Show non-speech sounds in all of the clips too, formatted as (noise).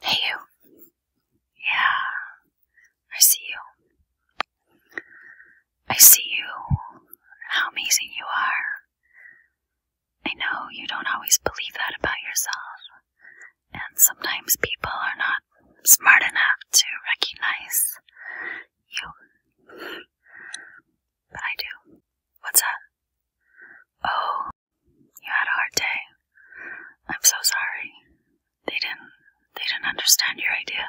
Hey, you. Yeah, I see you. I see you. How amazing you are. I know you don't always believe that about yourself, and sometimes people are not smart enough to recognize you. But I do. What's up? Oh, you had a hard day. I'm so sorry. They didn't they didn't understand your idea.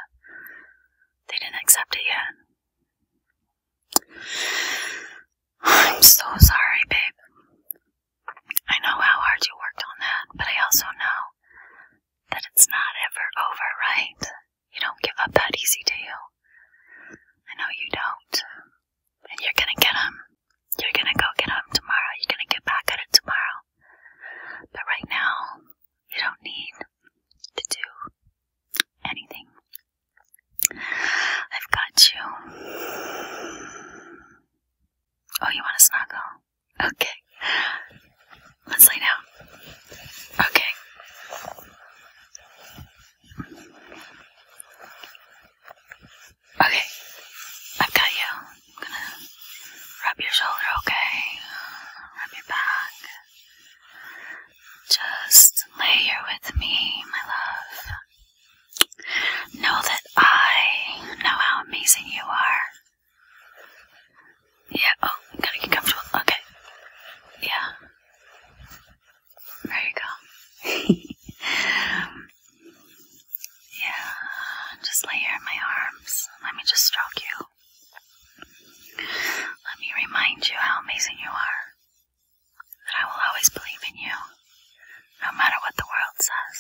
They didn't accept it yet. (sighs) I'm so sorry, babe. I know how hard you worked on that, but I also know that it's not ever over, right? You don't give up that easy, do you? I know you don't and you're gonna get them. You're gonna go get them tomorrow. You're gonna get back at it tomorrow. But right now, you don't need to do anything. I've got you. Oh, you want to snuggle? Okay. Let's lay down. Okay. Okay, I've got you. I'm gonna rub your shoulder, okay? Rub your back. Just lay here with me, my love. Know that I know how amazing you are. Yeah, oh, gotta get comfortable. Okay. Yeah. Very calm. (laughs) yeah, just lay here in my arms. Let me just stroke you. Let me remind you how amazing you are. That I will always believe in you, no matter what the world says.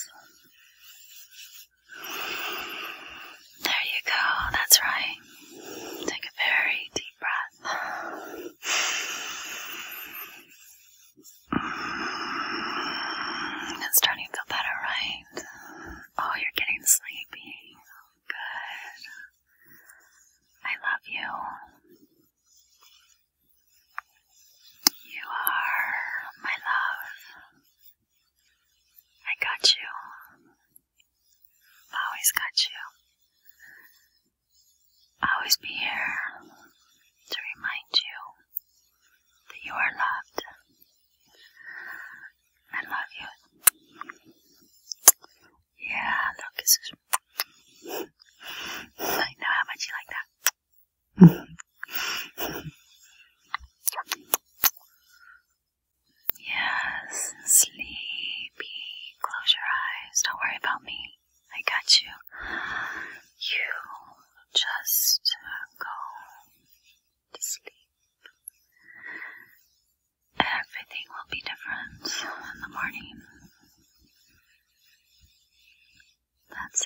There you go, that's right. Take a very deep breath. It's starting to feel better, right? Oh, you're getting sleepy. Good. I love you. You are my love. I got you. I always got you. I'll always be here to remind you that you are loved. I love you. Yeah, look, I know how much you like that. Yes, sleepy. Close your eyes. Don't worry about me. I got you. You just go to sleep. Everything will be different in the morning. That's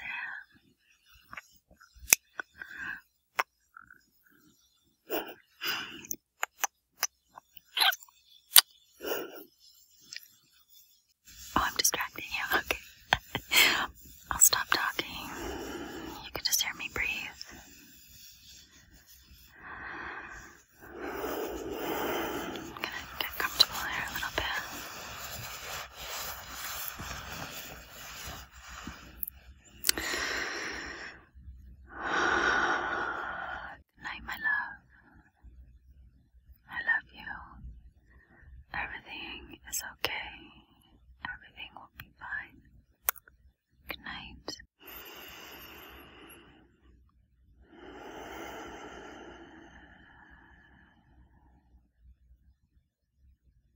it. Oh, I'm distracting you. (laughs) Okay. I'll stop talking. You can just hear me breathe. I'm gonna get comfortable here a little bit. Good my love. I love you. Everything is okay. Everything will be fine. Good